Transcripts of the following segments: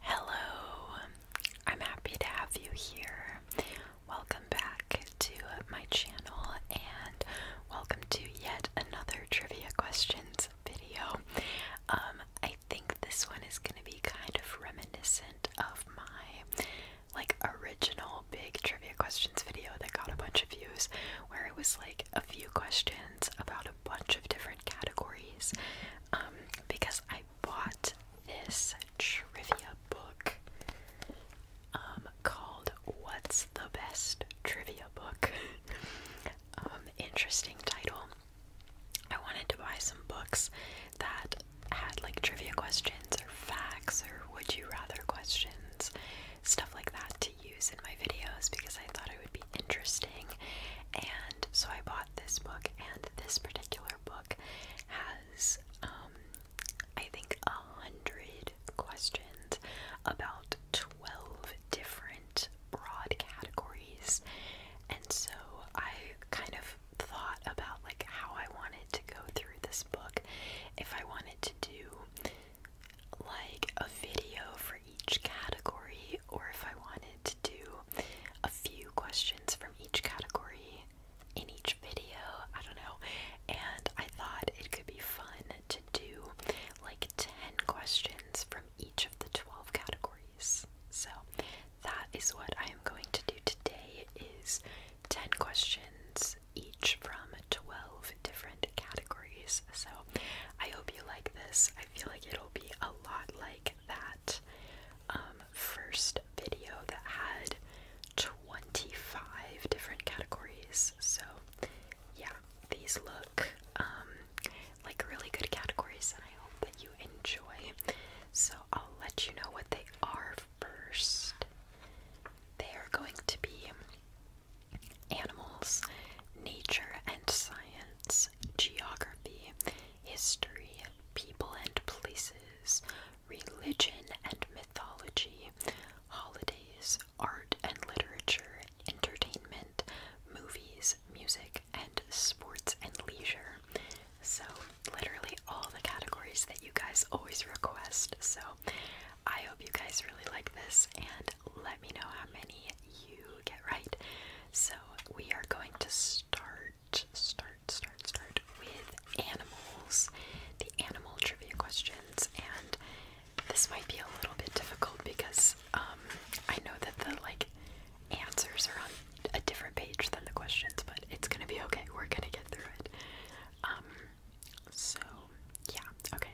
Hello, I'm happy to have you here. Welcome back to my channel and welcome to yet another trivia questions video. Um, I think this one is going to be kind of reminiscent of my like original big trivia questions video that got a bunch of views where it was like a few questions about a bunch of different categories um, because I bought this trivia book um, called What's the Best Trivia Book? Um, interesting title. I wanted to buy some books that had like trivia questions or facts or would you rather questions, stuff like that to use in my videos because I thought it would be interesting. And so I bought this book, and this particular book has, um, I think, a hundred questions about 12 different broad categories. And so I kind of thought about like how I wanted to go through this book. If I wanted to do like a video for each category or if I wanted to do a few questions from each category in each video. I don't know. And I thought it could be fun to do like 10 questions from each of the 12 categories. So that is what I am going to do today is 10 questions each from 12 different categories. So I hope you like this. I feel like it'll be a lot like that um, first video that had 25 different categories. So, yeah, these look um, like really good categories, and I hope that you enjoy. So, I'll let you know what they are first. They are going to be animals, nature, and science geography, history, people and places, religion and mythology, holidays, art and literature, entertainment, movies, music, and sports and leisure. So, literally all the categories that you guys always request. So, I hope you guys really like this and let me know how many you get right. So, we are going to start start, start, start with animals, the animal trivia questions, and this might be a little bit difficult because um, I know that the like answers are on a different page than the questions, but it's gonna be okay. We're gonna get through it. Um, so yeah, okay.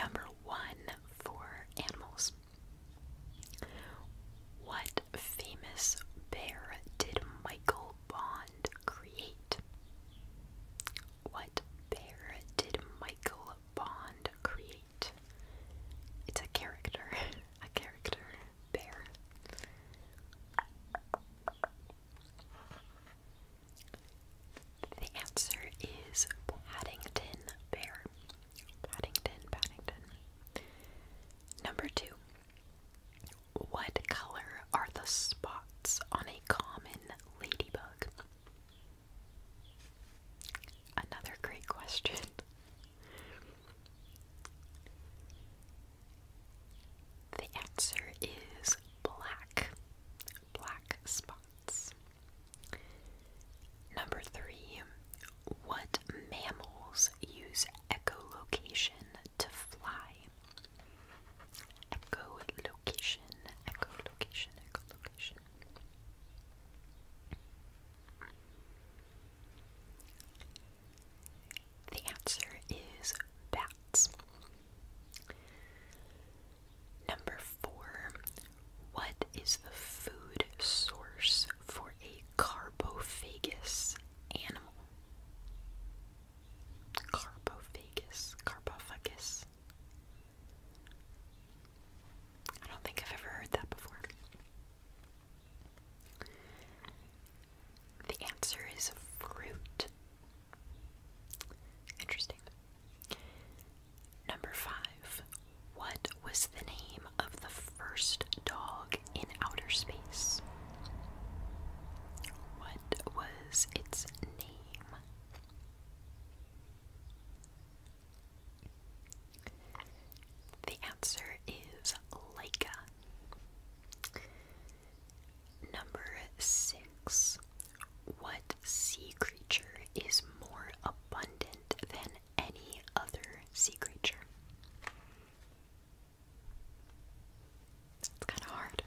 Number one for animals. What famous bear did Michael Bond create? What bear did Michael Bond create? It's a character, a character bear. The answer is Paddington Bear. Paddington, Paddington. Number two. What color are the spots on a common ladybug? Another great question. The answer is black. Black spots. Number three. What mammals use echolocation to fly? Echolocation, echolocation, echolocation. The answer is bats. Number four, what is the food source for a Carbofagus animal. Carbofagus, carbofagus. I don't think I've ever heard that before. The answer is fruit. Interesting. Number five, what was the name of the first dog in outer space? What was its name? The answer is Laika. Number six. What sea creature is more abundant than any other sea creature. It's kind of hard.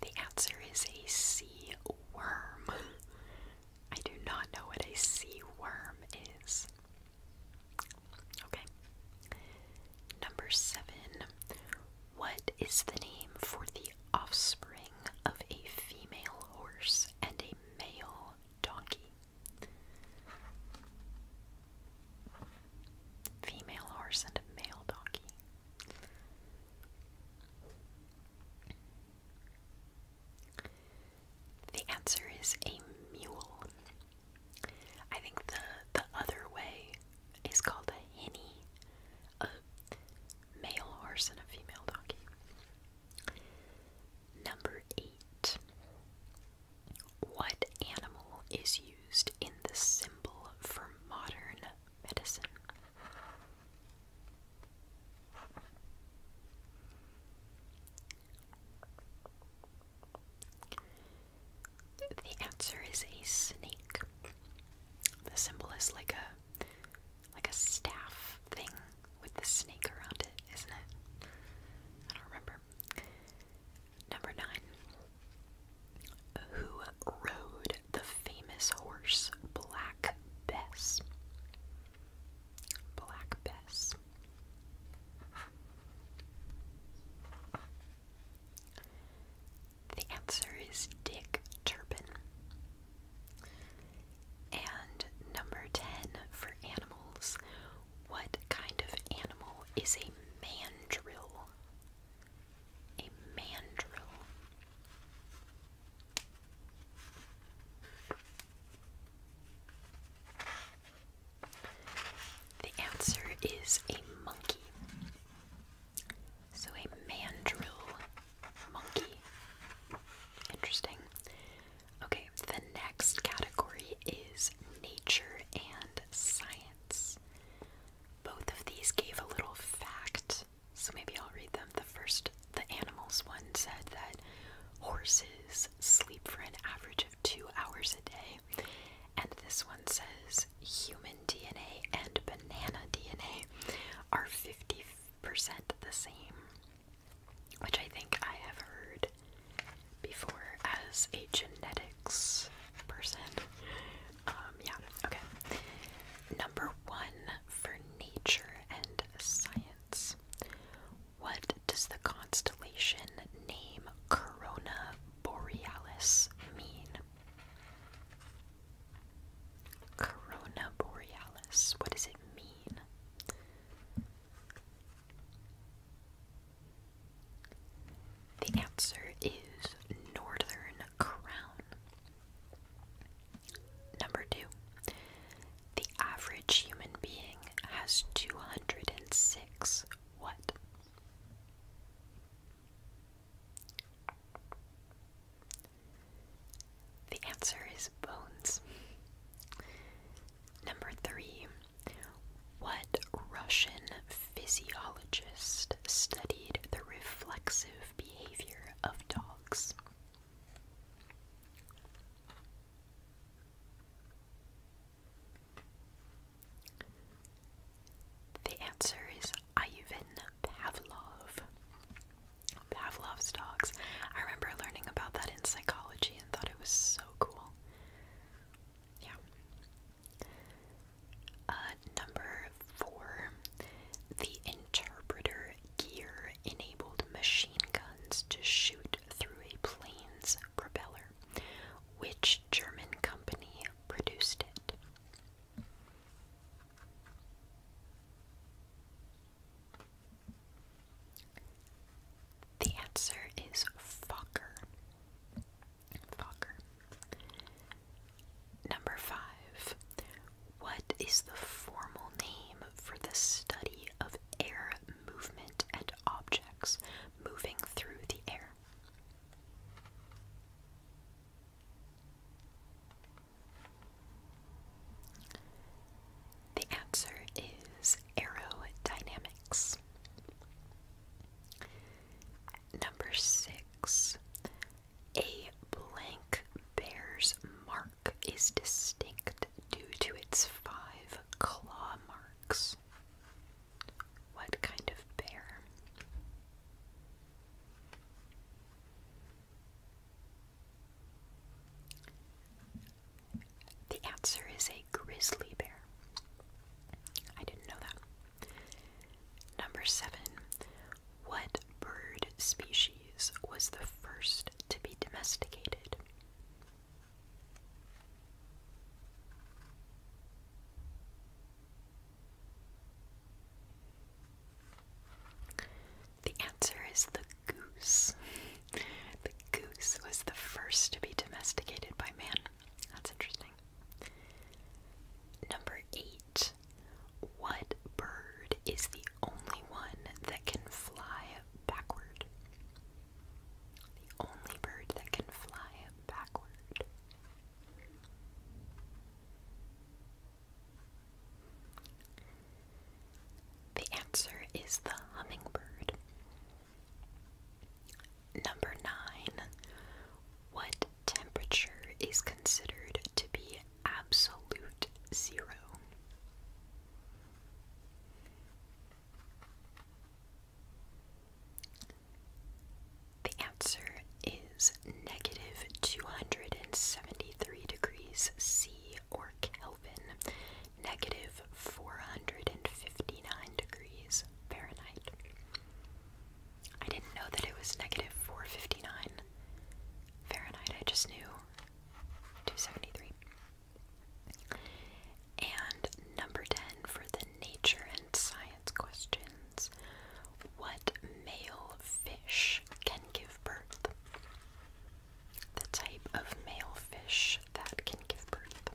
The answer is a sea worm. I do not know what a sea worm is. Okay. Number seven. What is the name for the the offspring of a female horse and a male donkey. Female horse and a male donkey. The answer is a mule. I think the the other way is called a hinny, a male horse and a female donkey. Number eight. What animal is used in the symbol for modern medicine? The answer is a snake. The symbol is like a like a staff thing with the snake around it, isn't it? I don't remember. Number nine. Who rode the famous horse Black Bess? Black Bess. The answer is Dick Turpin. And number 10 for animals. What kind of animal is a mandrill? A mandrill. The answer is a monkey. So a mandrill Monkey. Interesting. Okay, the next category is nature and science. Both of these gave a little fact, so maybe I'll read them. The first, the animals one, said that horses sleep for an average of two hours a day, and this one says human DNA and banana DNA are 50 percent the same, which I think I have heard before as a genetics person. Um, yeah, okay. Number one for nature and science. What does the constellation name Corona Borealis mean? Corona Borealis. What does it mean? The answer is Northern Crown. Number two. The average human being has 206 what? The answer is bones. Number three. What Russian physiologist studied the reflexive behavior of dogs? The answer is Ivan Pavlov. Pavlov's dogs. I remember learning about that in psychology and thought it was so cool. Yeah. Uh, number four, the interpreter gear enabled machine guns to shoot through a plane's propeller. Which German company produced it? The answer is Fokker. Fokker. Number five. What is the formal name for the study of air movement and objects moving through the air? The answer is aerodynamics. Number six. A blank bear's mark is distinct due to its five claw marks. What kind of bear? The answer is a grizzly bear. I didn't know that. Number seven. What bird species was the first to be domesticated? The answer is the goose. The goose was the first to be domesticated by man. That's interesting. Number eight. What bird is the only one that can fly backward? The only bird that can fly backward. The answer is the hummingbird. Number 9. What temperature is considered to be absolute zero? The answer is negative 273 degrees C or Kelvin, negative 459 degrees Fahrenheit. I didn't know that it was negative 459 Fahrenheit, I just knew 273. And number 10 for the nature and science questions. What male fish can give birth? the type of male fish that can give birth.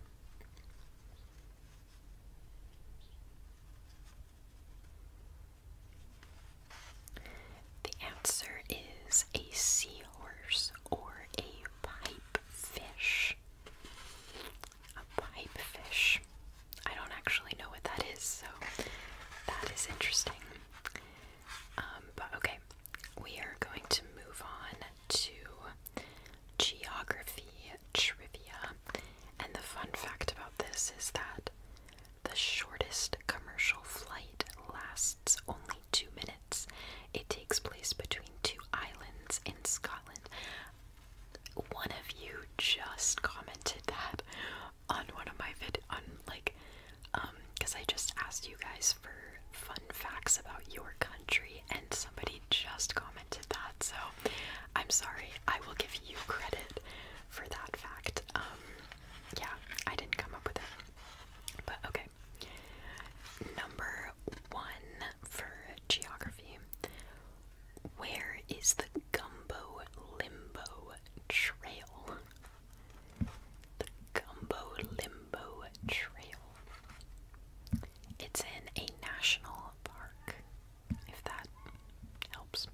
The answer is a seahorse or a pipefish. fish. A pipe I don't actually know what that is, so that is interesting. Um, but okay, we are going to move on to geography trivia. And the fun fact about this is that the shortest commercial flight lasts only two minutes. It takes place between two islands in Scotland. One of you just commented that on one of my vid on like because um, I just asked you guys for fun facts about your country and somebody just commented that. So I'm sorry, I will give you credit for that fact. Um, yeah, I didn't come up with it. But okay. Number one for geography. Where is the Gumbo Limbo Trail? The Gumbo Limbo Trail. It's in a national park, if that helps.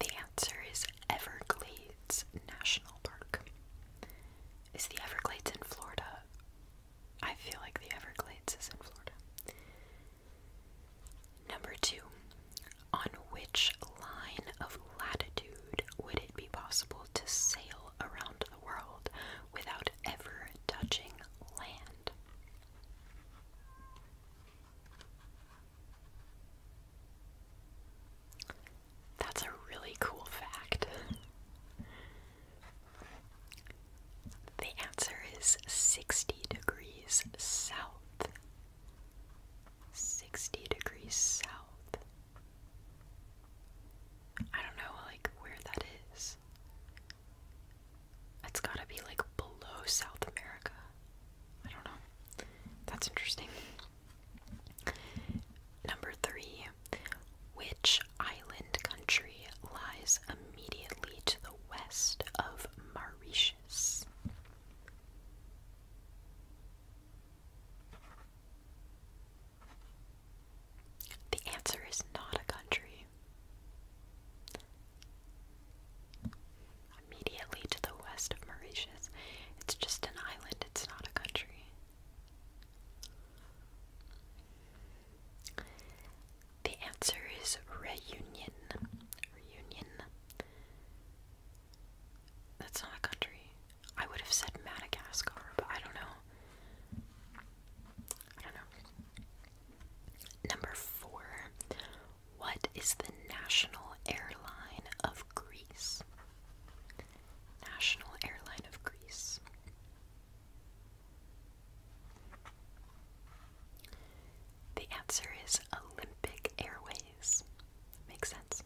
The answer is Everglades National Park. Is the Everglades in Florida? I feel like the Everglades is in Florida. Number two, on which line of latitude would it be possible to sail around the world without ever touching land? That's a really cool fact. The answer is 60 degrees south 60 degrees south. I don't know, like, where that is. It's gotta be, like, below South America. I don't know. That's interesting. Number three. Which island country lies immediately to the west of Mauritius? The answer is not a country. Immediately to the west of Mauritius, it's just an island, it's not a country. The answer is Reunion. Reunion. That's not a country. I would have said Madagascar, but I don't know. I don't know. Number four. What is the national airline of Greece? National airline of Greece. The answer is Big Airways. Makes sense.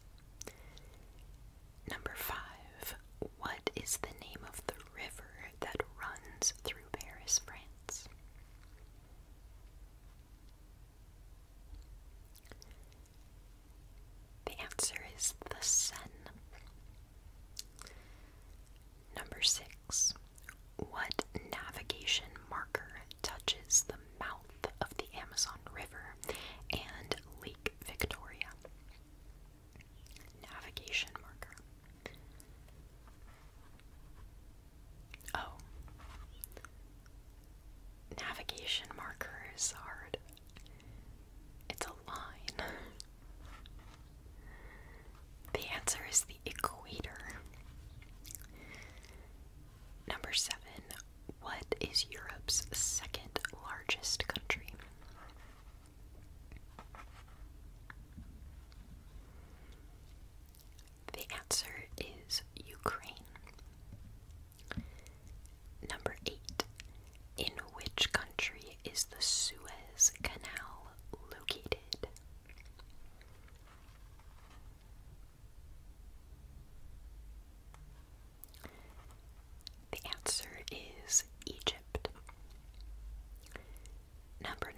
Number five. What is the name of the river that runs through Paris, France? The answer is the Seine. Number six. What navigation marker touches the mouth of the Amazon River and Lake Victoria? Navigation marker. Oh. Navigation marker is hard. It's a line. The answer is the equator. Number seven, what is Europe's second largest country? The answer is Ukraine. Number eight, in which country is the Suez Canal located? The answer is Egypt. Number 9.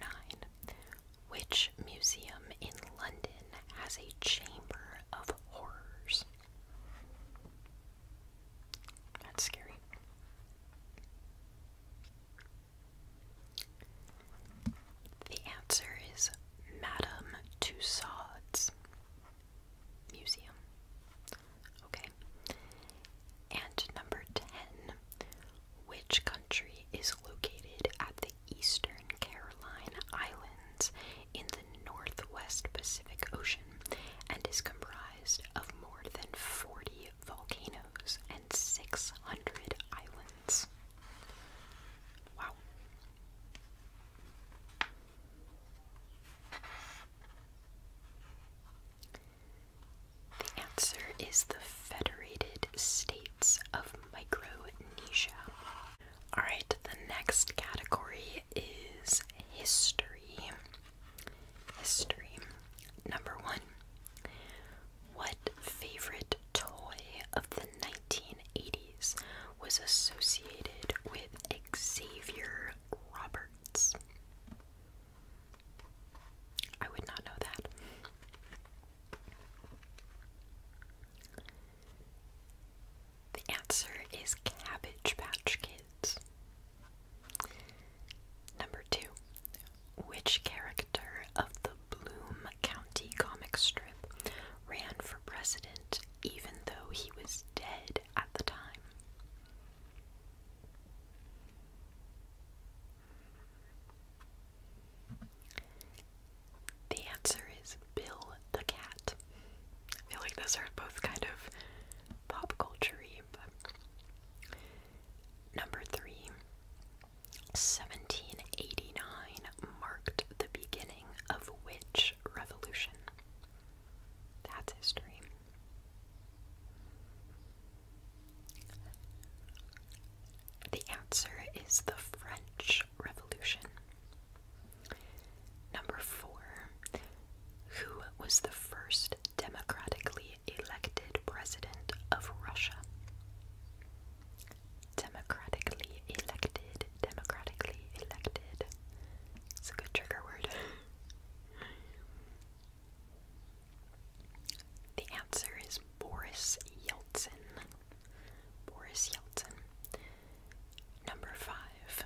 Which museum in London has a chamber of horrors? That's scary. The answer is Madame Tussauds Museum. Okay. And number 10. Which country is located at the eastern Caroline Islands in the northwest Pacific Ocean and is comprised of more than 40 volcanoes and 600 islands? Wow. The answer is the Federated States of Micronesia. Alright, the next category is history. History. Number one what favorite toy of the 1980s was associated with Xavier Roberts? I would not know that. The answer is Cabbage Patch Kids. Number two. Which character of the Bloom County comic strip, ran for president even though he was dead at the time. The answer is Bill the Cat. I feel like those are both kind of pop culture but. Number three, 1789 marked the beginning of which revolution? That's history. The answer is the French Revolution. Number four. Who was the first democratically elected president of Russia? Democratically elected. Democratically elected. It's a good trigger word. the answer is Boris Yeltsin. Boris Yeltsin. Number five.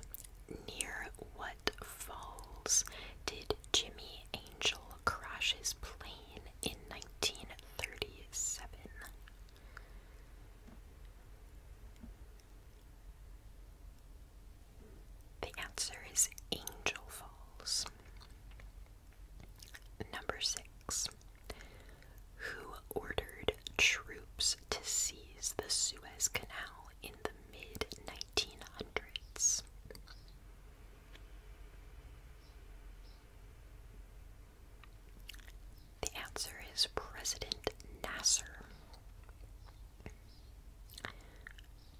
Near what falls did Jimmy Angel crash his plane in 1937? The answer is Angel Falls. Number six. Who ordered troops to seize the Suez Canal in the mid 1900s? The answer is President Nasser.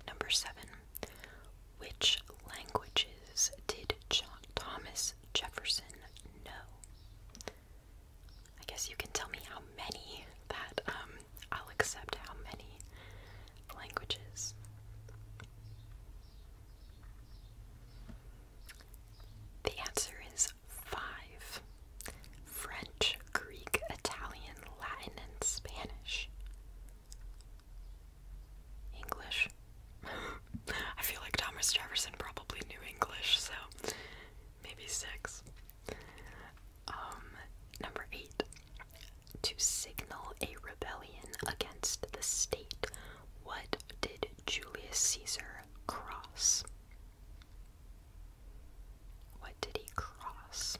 Number seven. Which languages did Thomas Jefferson know? I guess you can tell me how many that um, I'll accept how many languages. The answer is five French, Greek, Italian, Latin, and Spanish. English. I feel like Thomas Jefferson probably knew English, so maybe six. Um, number eight. To signal a rebellion against the state, what did Julius Caesar cross? What did he cross?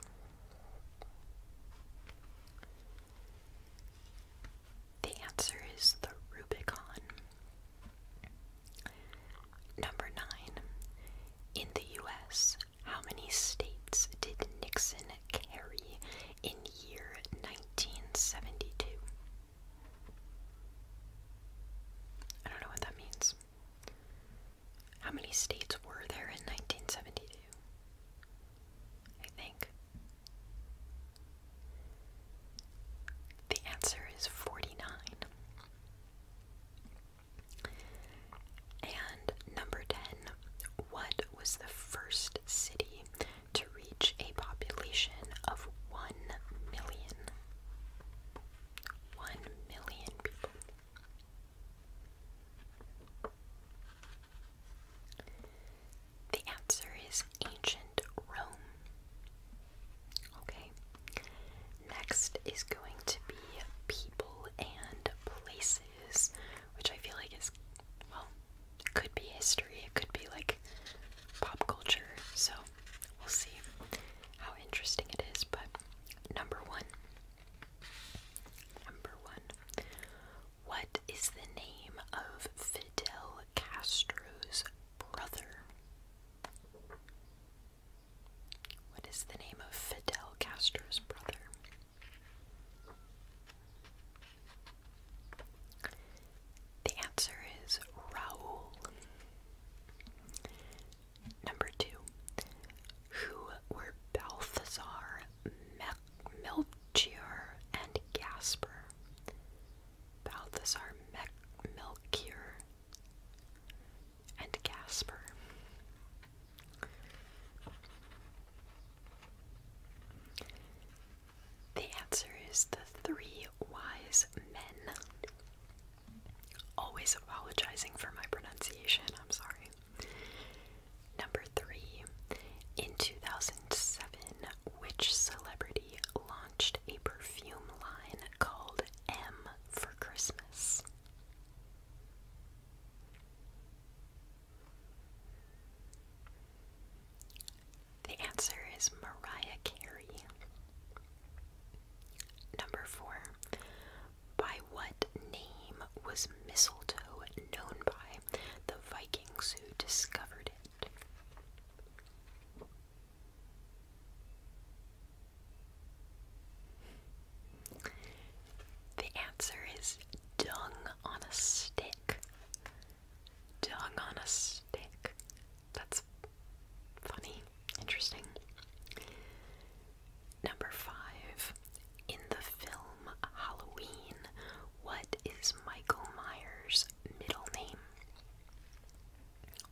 The answer is the Rubicon. Number 9. In the US, how many states did Nixon carry in year 1972? I don't know what that means. How many states were there in 1972? I think. The answer is 49. And number 10, what was the first city to reach a population of 1 million. people. The answer is ancient Rome. Okay. Next is going to be people and places, which I feel like is, well, it could be history, it could be like pop culture, so we'll see how interesting it is. But number one, number one, what is the name of Fidel Castro's brother? What is the name of Fidel Castro's brother? The answer is Raoul. Number two, who were Balthazar, Melchior, and Gasper? Balthazar, Melchior, and Gasper. The answer is the three wise men. Always apologizing for my pronunciation, I'm sorry. Number three, in 2007, which celebrity launched a perfume line called M for Christmas? The answer is Mariah Carey. Number four. By what name was mistletoe known by the Vikings who discovered it? The answer is dung on a stick. Dung on a stick. That's funny, interesting. Number five. In the film Halloween, what is Michael Myers' middle name?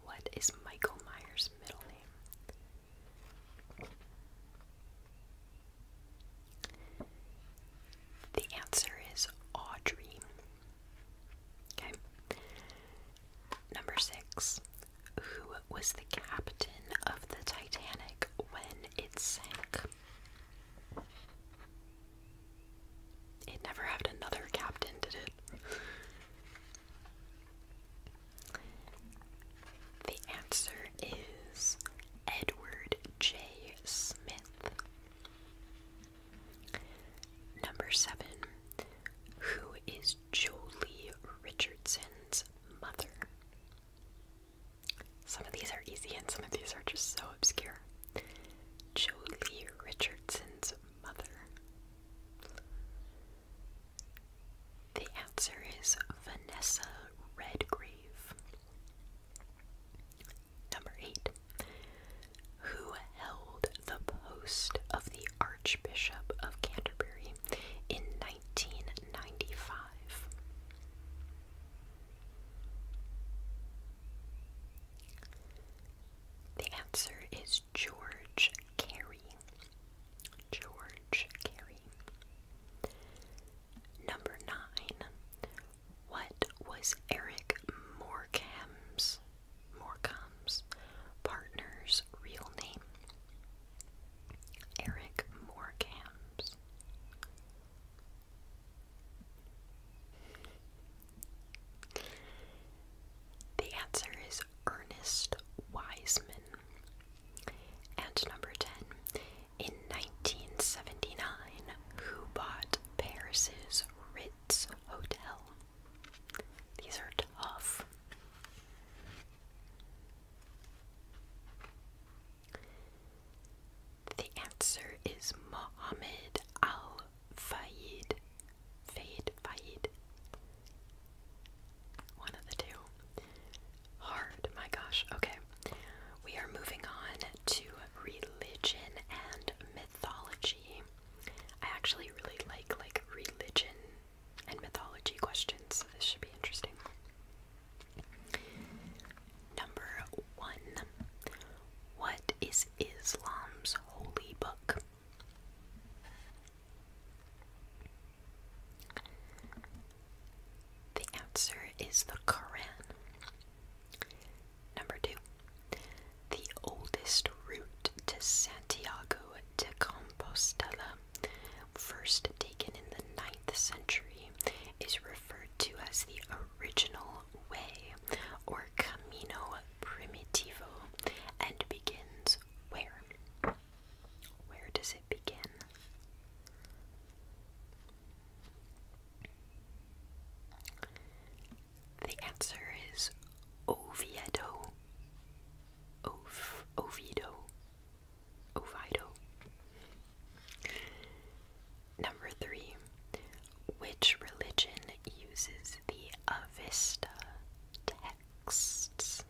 What is Michael Myers' middle name? The answer is Audrey. Okay. Number six. Who was the captain of the Titanic when it sank? It never had another captain, did it? The answer is Edward J. Smith. Number seven, who is Jolie Richardson's mother? Some of these are easy and some of these are just so obscure. Jolie Richardson's mother. The answer is Vanessa Redgrave. Number eight who held the post of the Archbishop of Canterbury in 1995. The answer is George Carey. George Carey. Number nine. What was Eric Morcam's Morecombe's partner's real name? Eric Morecambe's. The answer is Ernest Wiseman. And number 10. In 1979, who bought Paris's Ritz Hotel. These are tough. The answer is Mohammed Al Fayed. Fayed, Fayed. One of the two. Hard, my gosh. Okay. We are moving on to religion and mythology. I actually really like like religion and mythology questions, so this should be interesting. Number one. What is Islam's holy book? The answer is the Quran. Number two. The oldest route to Santiago de Compostela, first taken in the 9th century, is referred to as the original way or Camino Primitivo and begins where? Where does it begin? The answer is Oviedo. Ov Oviedo. Oviedo. Number three. Which religion uses the Avista texts?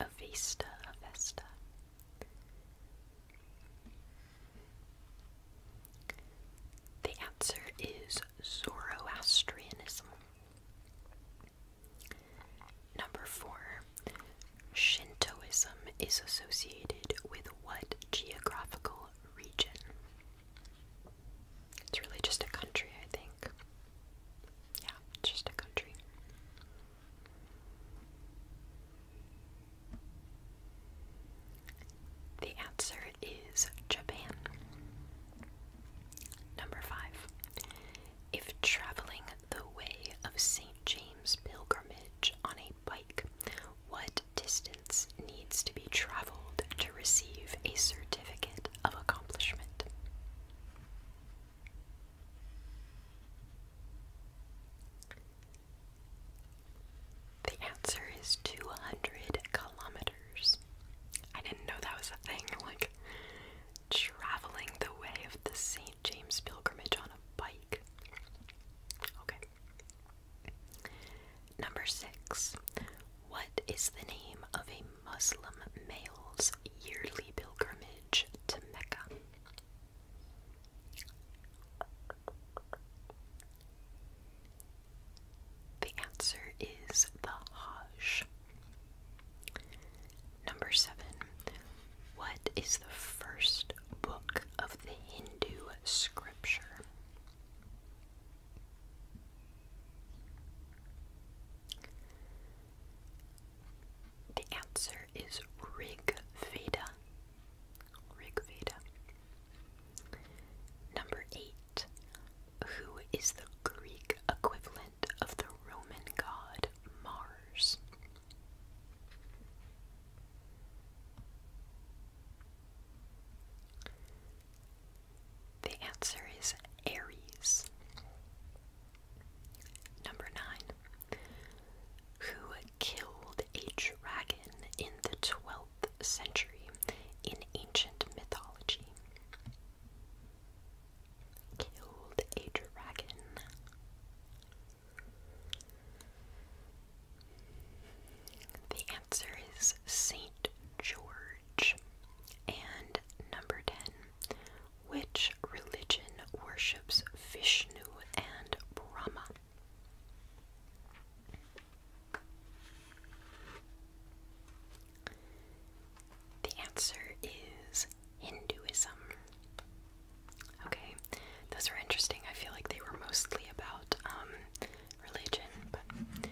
Avista Avista. The answer is Zoroastrianism. Number four, Shintoism is associated with what geographical region? It's really just a country, I think. Yeah, just a country. The answer is Japan. Number five. If traveling the way of St. James pilgrimage on a bike, what distance needs to be traveled to receive a certificate of accomplishment? The answer is 200 kilometers. I didn't know that was a thing, like traveling the way of the St. James pilgrimage on a bike. Okay. Number six. What is the name of a Muslim male's yearly pilgrimage to Mecca? The answer is the Hajj. Number seven. What is the first book of the Hindu scripture? The answer is Rig Veda. Rig Veda. Number eight who is the Greek equivalent of the Roman god Mars? The answer is Ares. Number nine. Who killed a dragon in the 12 century in ancient mythology. Killed a dragon. The answer is Saint George. And number 10. Which religion worships Vishnu and Brahma? The answer is Hinduism. Okay, those were interesting. I feel like they were mostly about um, religion, but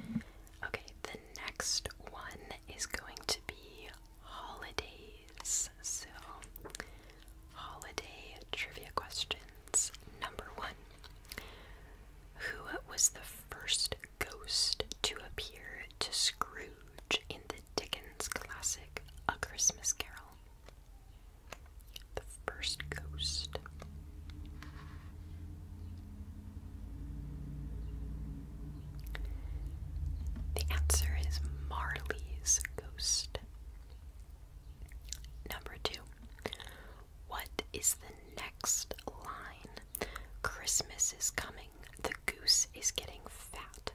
okay, the next one is going to be holidays. So, holiday trivia questions. Number one Who was the first ghost to appear to Scrooge in the Dickens classic A Christmas Carol. The first ghost. The answer is Marley's ghost. Number two, what is the next line? Christmas is coming. The goose is getting fat.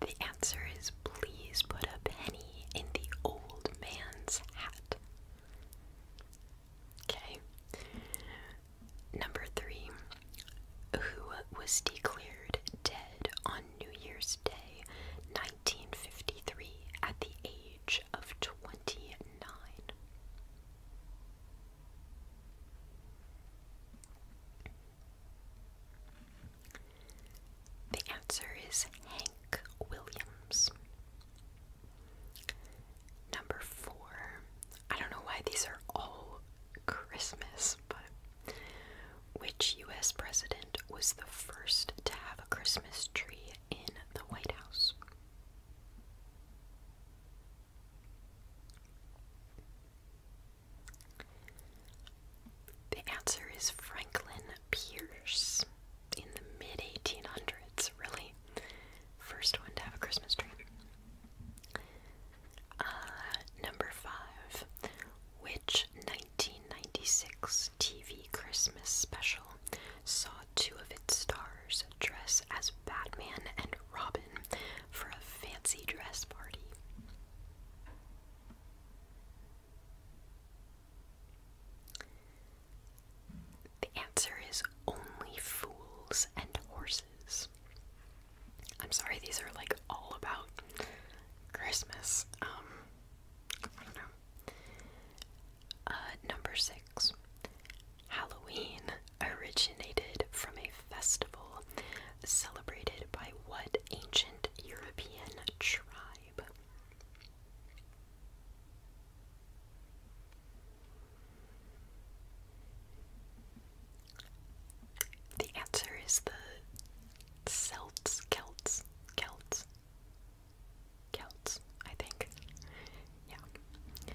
The answer is please put a penny in the old man's hat. Okay. Number three. Who was declared dead on New Year's Day, 1953, at the age of 29. The answer is Hank Williams. Number four. I don't know why these are all Christmas, but which US president was the first to have a Christmas tree in the White House? The answer is Franklin Pierce in the mid 1800s, really. First one to have a Christmas tree. Uh, number five. Which 1996 TV Christmas special saw two of its stars dress as Batman and Robin for a fancy dress party? The answer is only fools and horses. I'm sorry, these are like all about Christmas. Um, I don't know. Uh, number six. Halloween originated from a festival celebrated by what ancient European tribe? The answer is the Celts, Celts, Celts, Celts, I think. Yeah.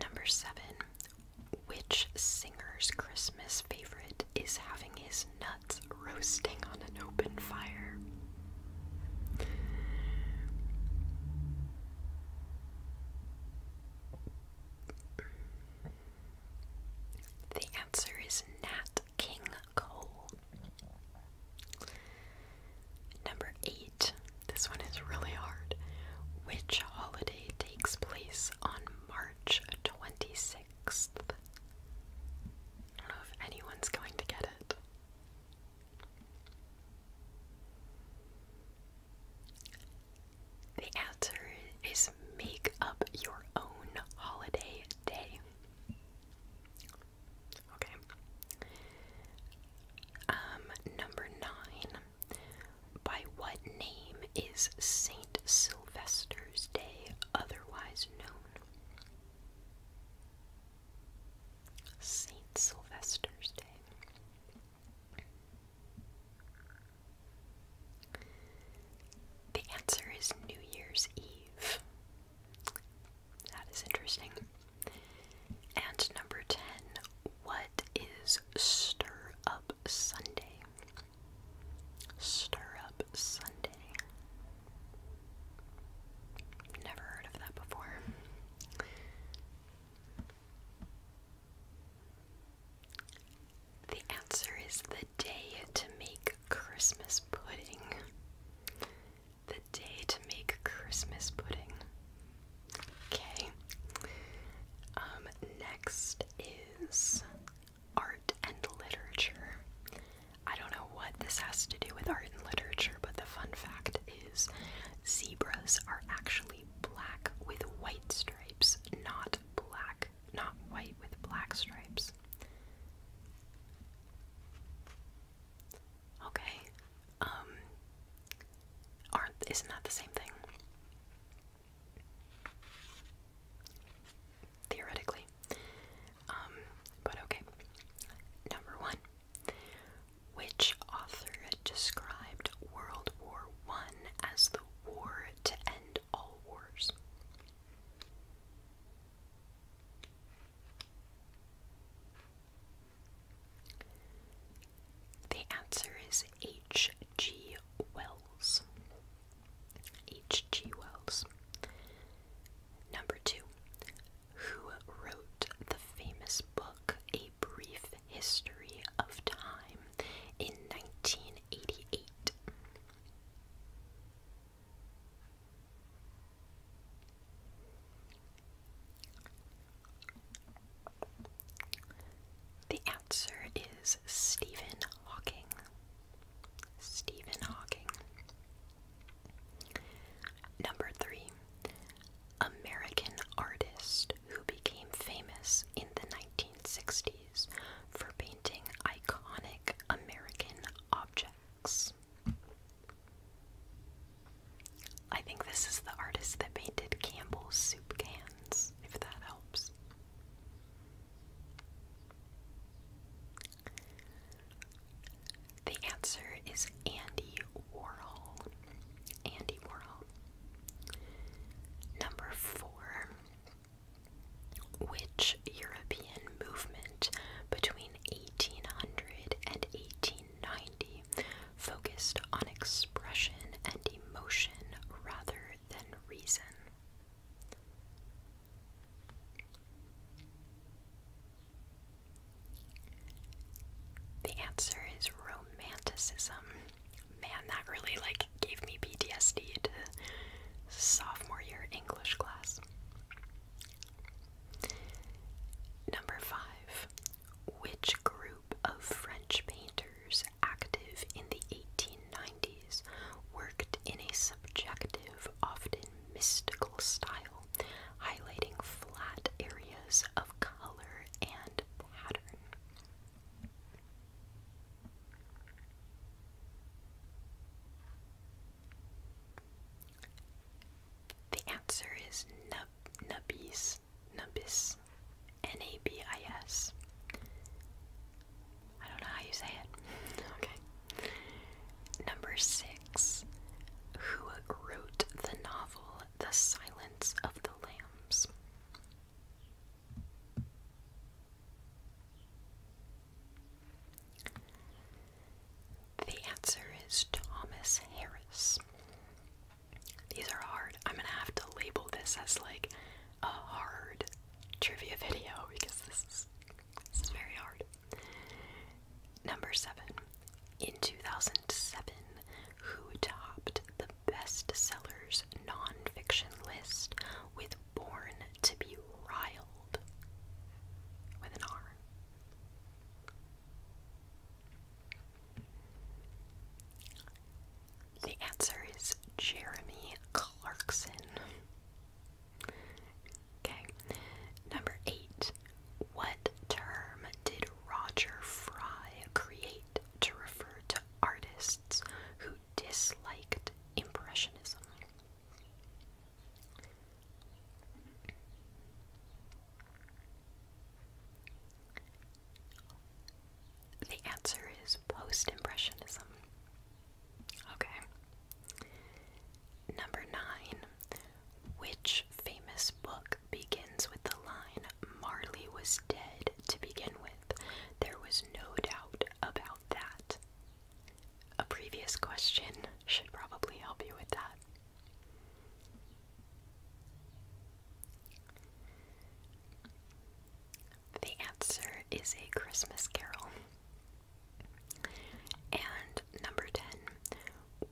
Number seven. Which singer's Christmas favorite is having his nuts roasting on an open fire? The answer is Nat King Cole. Number eight. This one is really hard. Which holiday takes place on March 26th? I don't know if anyone's going to get it. The answer is make up your own holiday day. Okay. Um, number nine. By what name is Saint Sylvester's Day otherwise known? Saint Sylvester's Day. The answer is New Year's Eve. That is interesting. And number 10, what is Stir Up Sunday? Stir Up Sunday. Never heard of that before. The answer is the day to make Christmas pudding. The day to make Christmas pudding. Okay. Um, next is art and literature. I don't know what this has to do with art and literature, but the fun fact is zebras are actually black with white stripes, not black not white with black stripes. Okay. Um, aren't isn't that the same thing? Theoretically. Um, but okay. Number one. Which author described World War One as the war to end all wars? The answer is H.G. Wells. H.G. Wells. Number two, who wrote the famous book A Brief History of Time in 1988? The answer is Stephen Hawking. Stephen Hawking. Number three, American artist who became famous in the 1960s for painting iconic American objects. I think this is the artist that painted Campbell's soup cans, if that helps. The answer is Andy Warhol. Andy Warhol. Number four which European movement between 1800 and 1890 focused on expression and emotion rather than reason? The answer is romanticism. Man, that really like gave me PTSD to sophomore year English class. Number five, which group of French painters active in the 1890s worked in a subjective, often mystical style, highlighting flat areas of color and pattern? The answer is nub nubis, nubis, N-A-B-I-S. I don't know how you say it. okay. Number six. Who wrote the novel The Silence of the Lambs? The answer is Thomas Harris. These are hard. I'm gonna have to label this as like a hard trivia video because this is, very hard. Number seven. In 2007, who topped the best sellers nonfiction list with born to be riled with an R. The answer is Jeremy Clarkson. Okay, number eight. What term did Roger Fry create to refer to artists who disliked Impressionism? The answer is post impressionism. Okay. Number nine. Which famous book begins with the line, Marley was dead to begin with? There was no doubt about that a previous question should probably help you with that. The answer is A Christmas Carol. And number 10,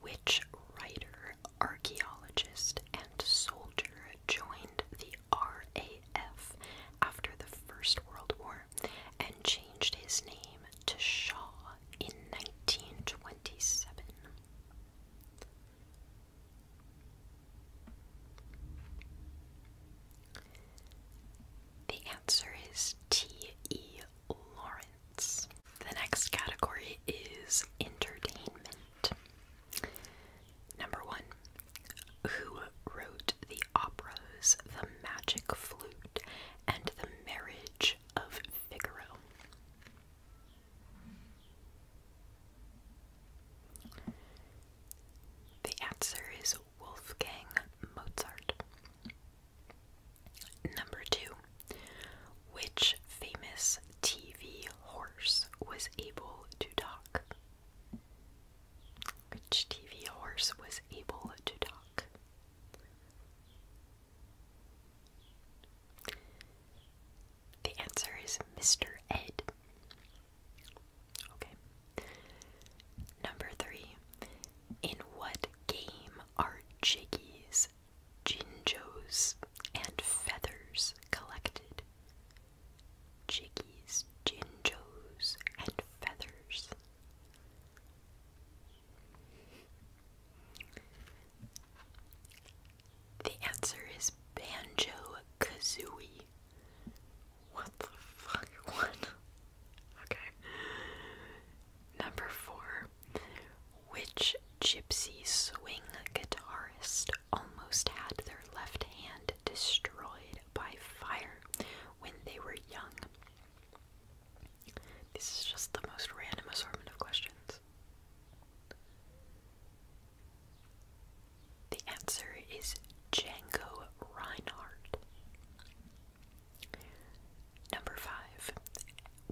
which writer, archaeologist, and soldier joined the RAF after the First World War? and changed his name to Shaw in 1927. The answer is T.E. Lawrence. The next category is entertainment. Number one, who wrote the operas The Magic Flute and The Marriage of Figaro. The answer is Wolfgang Mozart. Number two, which famous TV horse was able to talk? Which TV horse was able to talk? The answer is Mr. Ed. Okay. Number three. In what game are jiggies, jinjos, and feathers collected? Jiggies, jinjos, and feathers the answer is Banjo Kazooie. What the fuck? Okay. Number four. Which gypsy swing guitarist almost had their left hand destroyed by fire when they were young? This is just the most random assortment of questions. The answer is Django Reinhardt. Number five.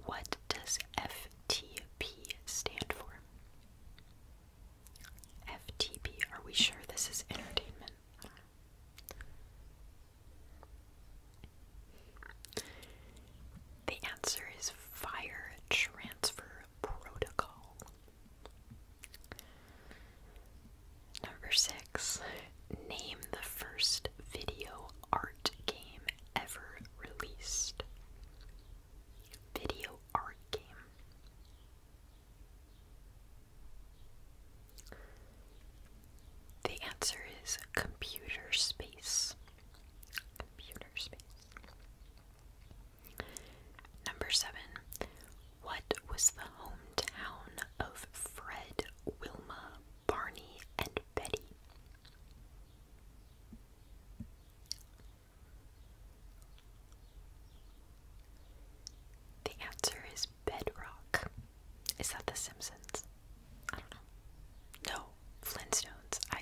What does FTP stand for? FTP. Are we sure this is entertainment? The answer is fire transfer protocol. Number six, name the first video art game ever released. Video art game. The answer is computer space. Computer space. Number seven. What was the hometown of Fred, Wilma, Barney, and Betty? The answer is bedrock. Is that The Simpsons? I don't know. No, Flintstones. I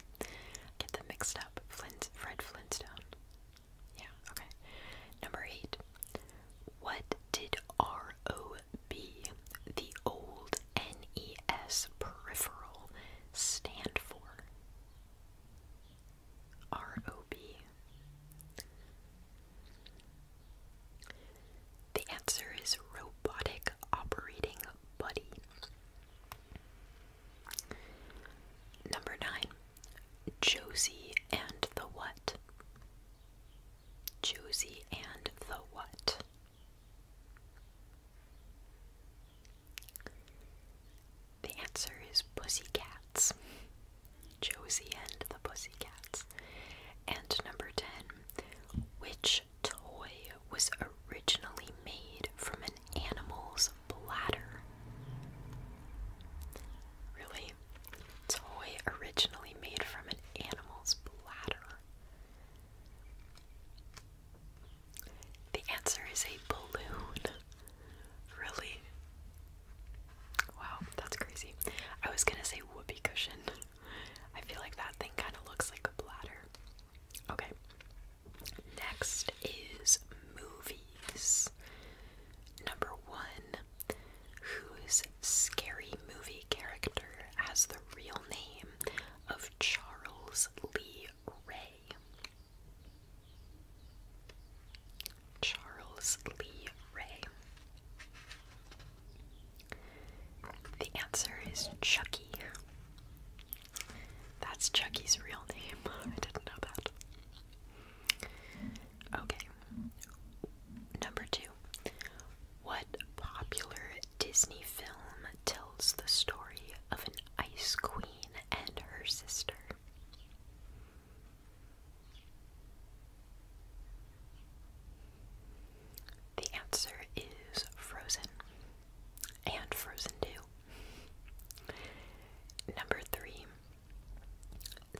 get them mixed up. Flint, Fred Flintstone. Yeah, okay. Number eight. What did ROB, the old NES peripheral, stand for? ROB. The answer is robotic operating buddy. Number nine, Josie and the what? Josie and the what? The answer is pussycats. Josie and the Pussycats. And number 10, which toy was originally made from an animal's bladder? Really? Toy originally made from an animal's bladder? The answer is a balloon. Really? Wow, that's crazy. I was gonna say whoopee cushion. I feel like that thing kind of looks like a bladder. Okay. Next is movies. Number one, whose scary movie character has the real name of Charles Lee Ray? Charles Lee Ray. The answer is Chucky. That's Chucky's real name. I didn't know that. Okay. Number two. What popular Disney film tells the story of an ice queen and her sister? The answer is Frozen and Frozen too. Number 3.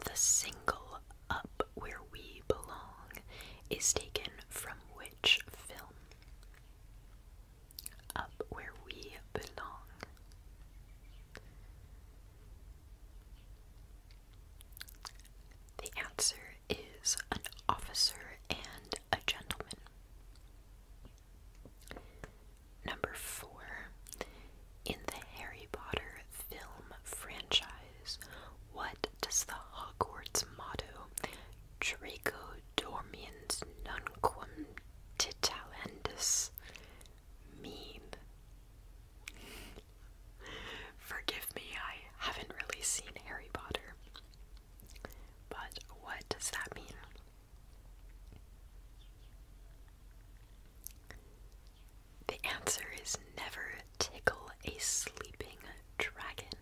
The single Up Where We Belong is taken from which film? Up Where We Belong. The answer is an officer and a gentleman. Number four. In the Harry Potter film franchise, what does the Hogwarts motto Draco Dormiens Nunquam Titalendus mean? Forgive me, I haven't really seen Harry Potter. But what does that mean? The answer is never tickle a sleeping dragon.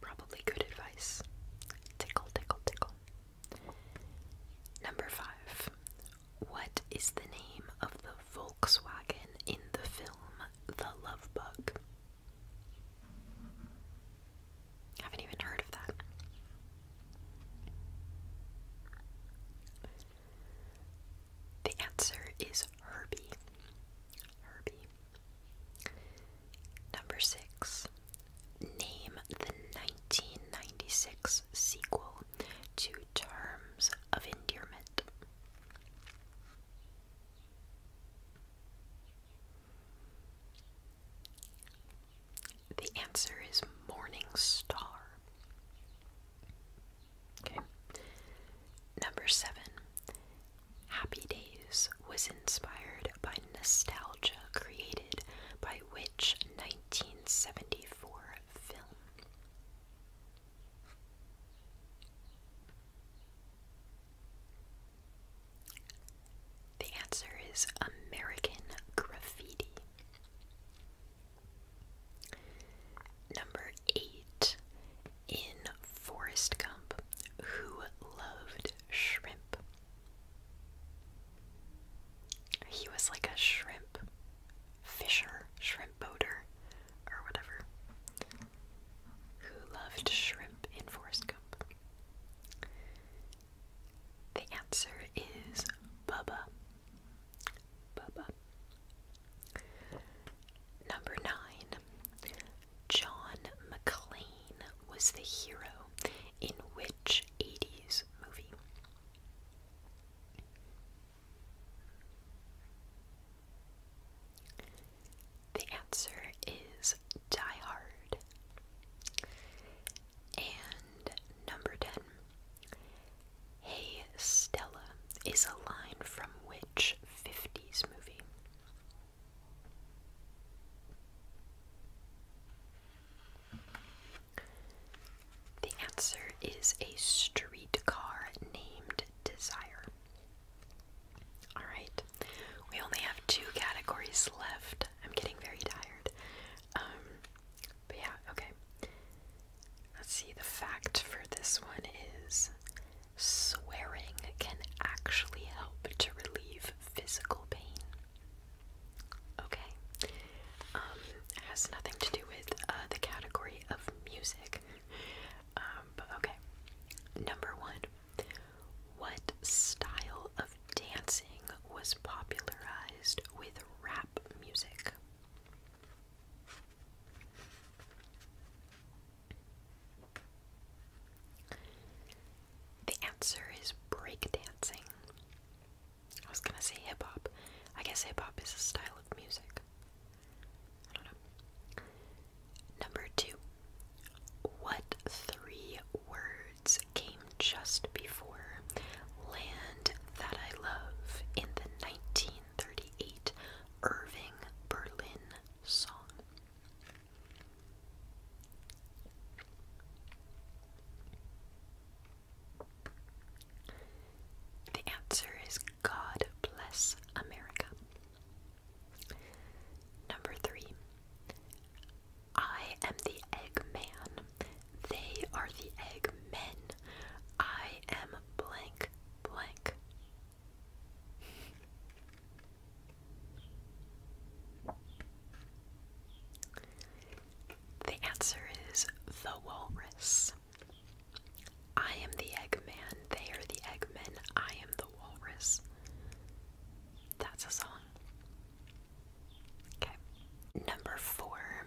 Probably good advice. Tickle, tickle, tickle. Number five, what is the name of the Volkswagen in the film The Love Bug? Haven't even heard of that. The answer is Herbie. Herbie. Number six. Name the 1996 sequel to terms of endearment. The answer is Morning Star. Okay. Number seven. Happy Days was inspired by nostalgia created by which 1974 film? The answer is American graffiti. Number eight. In Forrest Gump, who loved shrimp. He was like a shrimp fisher, shrimp boater, or whatever, who loved shrimp in forest Gump? The answer is Bubba. Bubba. Number nine. John McClane was the hero in which 80s movie? The answer is Die Hard. And number 10. Hey Stella is a line from which 50s movie? The answer is a streetcar named Desire. Alright, we only have two categories left. I'm getting very tired. Um, but yeah, okay. Let's see, the fact for this one is swearing can actually help to relieve physical pain. Okay. Um, has nothing to do with uh, the category of music. Um, okay. Number one. What style of dancing was popularized with rap music? The answer is breakdancing. I was gonna say hip hop. I guess hip hop is a style of music. Number two, what three words came just before Land That I Love in the 1938 Irving Berlin song? The answer is God bless America. Number three, I am the egg man. They are the egg men. I am blank blank. The answer is the walrus. I am the Eggman, they are the Eggmen, I am the Walrus. That's a song. Okay. Number four,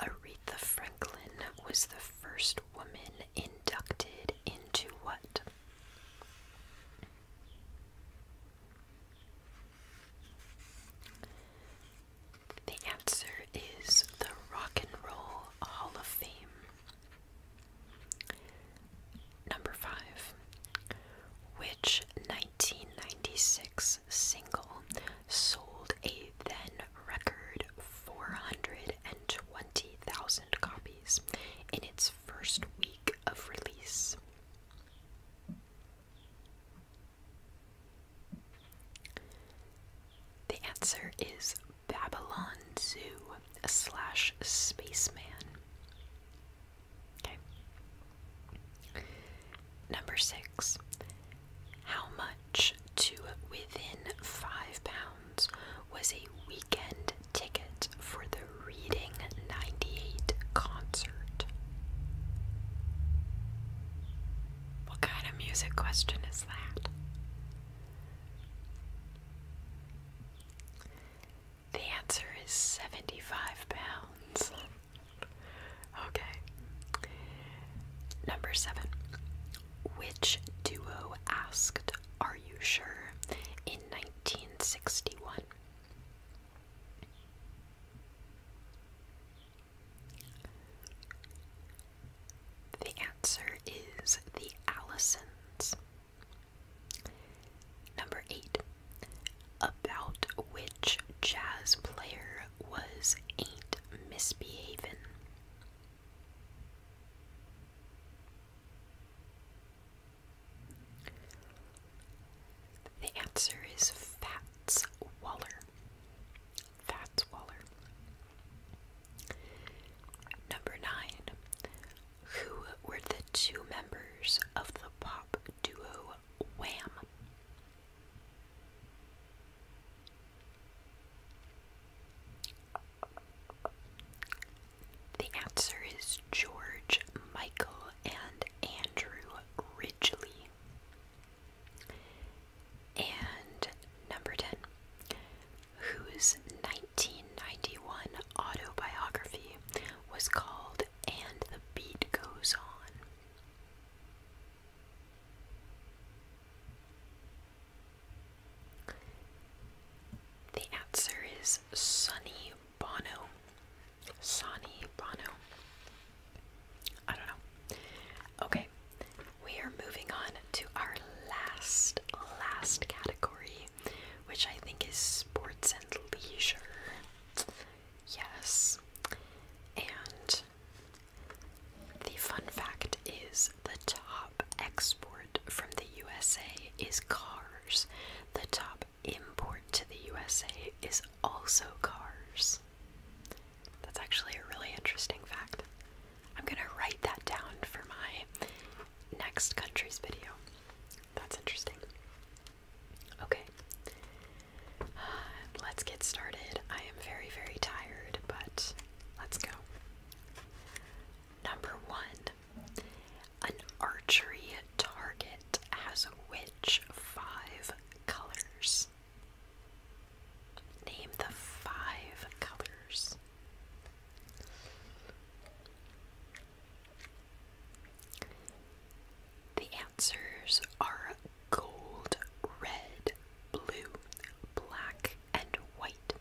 Aretha Franklin was the first woman inducted into what? The answer is the Rock and Roll Hall of Fame. Number 5. Which 1996 single sold a then record 420,000 copies in its first week of release? The answer is Babylon Zoo slash Spaceman. Okay. Number six. How much to within five pounds was a weekend ticket for the Reading 98 concert? What kind of music question is that? The answer is 75 pounds. okay. Number seven. Which duo asked, Are you sure? in 1961? The answer is the Allisons. Number 8. About which jazz player was Ain't Misbehavin'? The answer is Fats Waller. Fats Waller. Number 9. Who were the two members of the pop duo Wham? The answer is George Michael and Andrew Ridgely. And number 10, whose 1991 autobiography was called And the Beat Goes On. The answer is Sonny Bono. Sonny Bono. I don't know. Okay, we are moving on to our last, last category, which I think is sports and leisure. Yes. And the fun fact is the top export from the USA is cars. The top import to the USA is also cars. That's actually a really interesting fact. I'm gonna write that down for my next country's video. That's interesting. Okay, let's get started. I am very, very tired, but let's go. Number one An archery target has which five colors? Name the five colors. The answers are gold, red, blue, black, and white.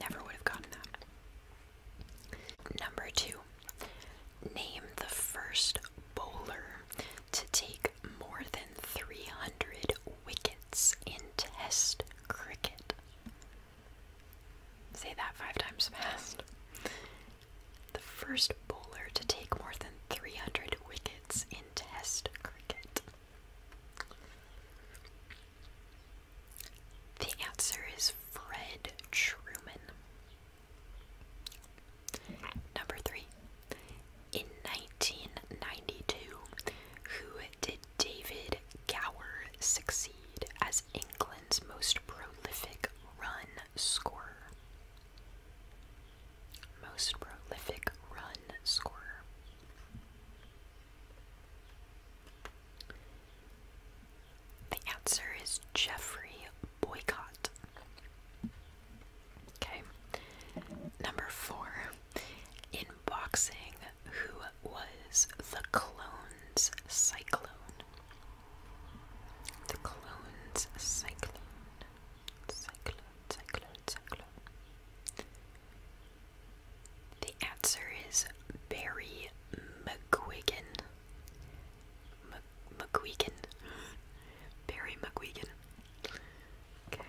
Never would have gotten that. Number two, name the first bowler to take more than 300 wickets in Test cricket. Say that five times fast. The first bowler to take more than 300 wickets in Test cricket. The answer is Fred Truman. Number three, in 1992, who did David Gower succeed as England's most prolific run scorer? Most prolific run scorer. The answer is Jeffrey Boycott. Okay. Number four in boxing who was the Clones Cyclone. The Clones Cyclone. Cyclone, Cyclone, Cyclone. The answer is Barry McGuigan. McGuigan. Barry McGuigan. Okay.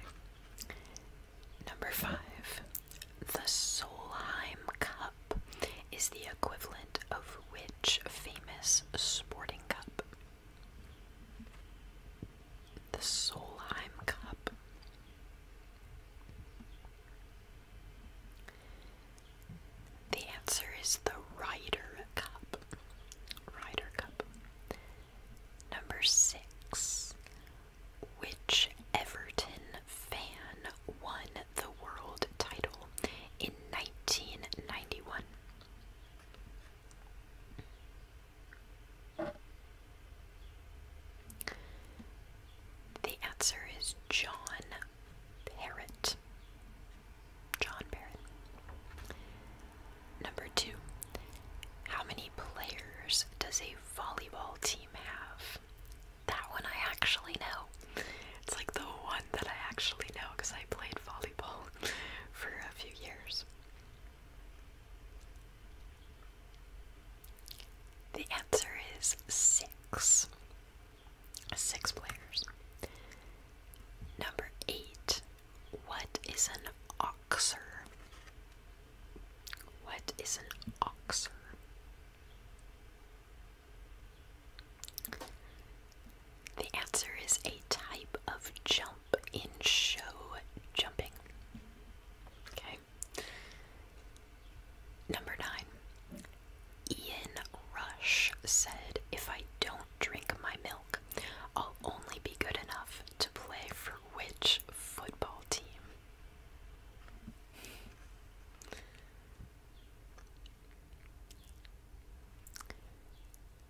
Number five, the Solheim Cup is the equivalent of which famous sporting cup? The Solheim Cup. The answer is the Ryder Cup. Ryder Cup. Number six. Which Everton fan won the world title in 1991? The answer is John Parrott. John Parrott. Number two, how many players does a volleyball team have? That one I actually know. It's like the one that I actually know because I played volleyball for a few years. The answer is six. Six players. Number eight, what is an oxer? What is an oxer? The answer is a type of jump in show jumping. Okay. Number nine. Ian Rush said, If I don't drink my milk, I'll only be good enough to play for which football team?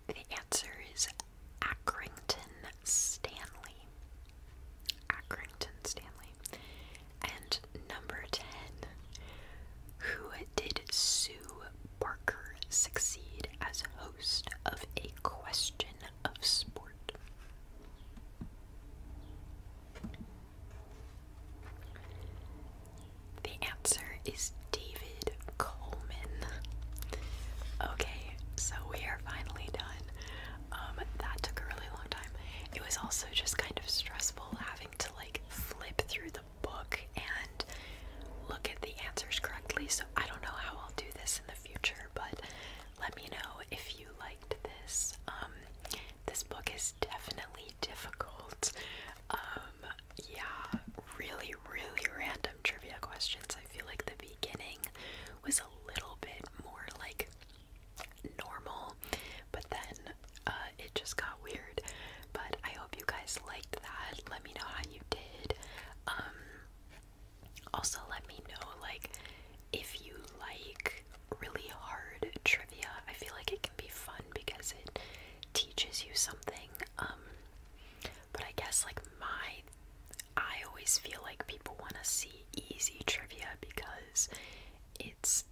The answer is Accrington Stanley. Accrington Stanley. And number 10. Who did Sue Barker succeed as host of A Question of Sports? The answer is David Coleman. Okay, so we are finally done. Um, that took a really long time. It was also just kind of stressful having to like flip through the book and look at the answers correctly. So I don't know how I'll do this in the future, but let me know if you liked this. Um, this book is definitely difficult. Um, yeah, really, really random trivia questions. I feel like the beginning was a little bit more like normal, but then uh, it just got weird. But I hope you guys liked that. Let me know how you did. Um, also, let me know like if you like really hard trivia. I feel like it can be fun because it teaches you something. Um, but I guess like my, I always feel like people want to see easy trivia because it's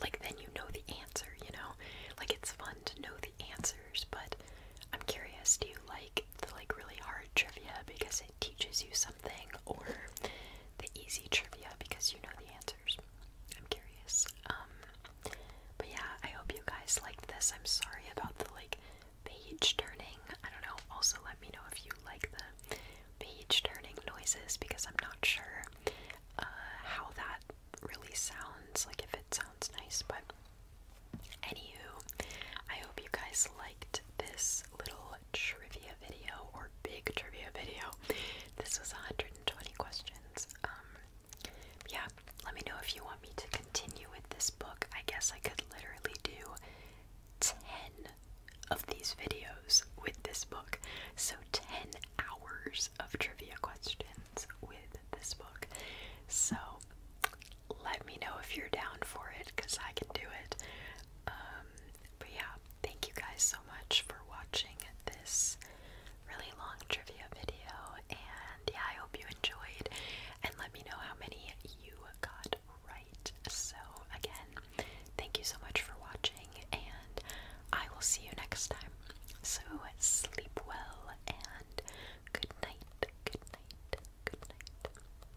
like then you know the answer. You know, like it's fun to know the answers, but. I'm curious, do you like the like really hard trivia because it teaches you something? something or the easy trivia because you know the answers. I'm curious. Um, but yeah, I hope you guys liked this. I'm sorry about the like page turning. I don't know. Also let me know if you like the page turning noises because I'm not sure uh, how that really sounds, like if it sounds nice, but anywho, I hope you guys liked this little trivia video or big trivia video. This was 120 questions. Um, yeah, let me know if you want me to continue with this book. I guess I could literally do 10 of these videos with this book. So 10 hours of trivia questions with this book. So let me know if you're down for it because I can do it. Um, but yeah, thank you guys so much for watching this really long trivia video. And yeah, I hope you enjoyed. And let me know how many you got right. So, again, thank you so much for watching, and I will see you next time. So, sleep well and good night, good night, good night.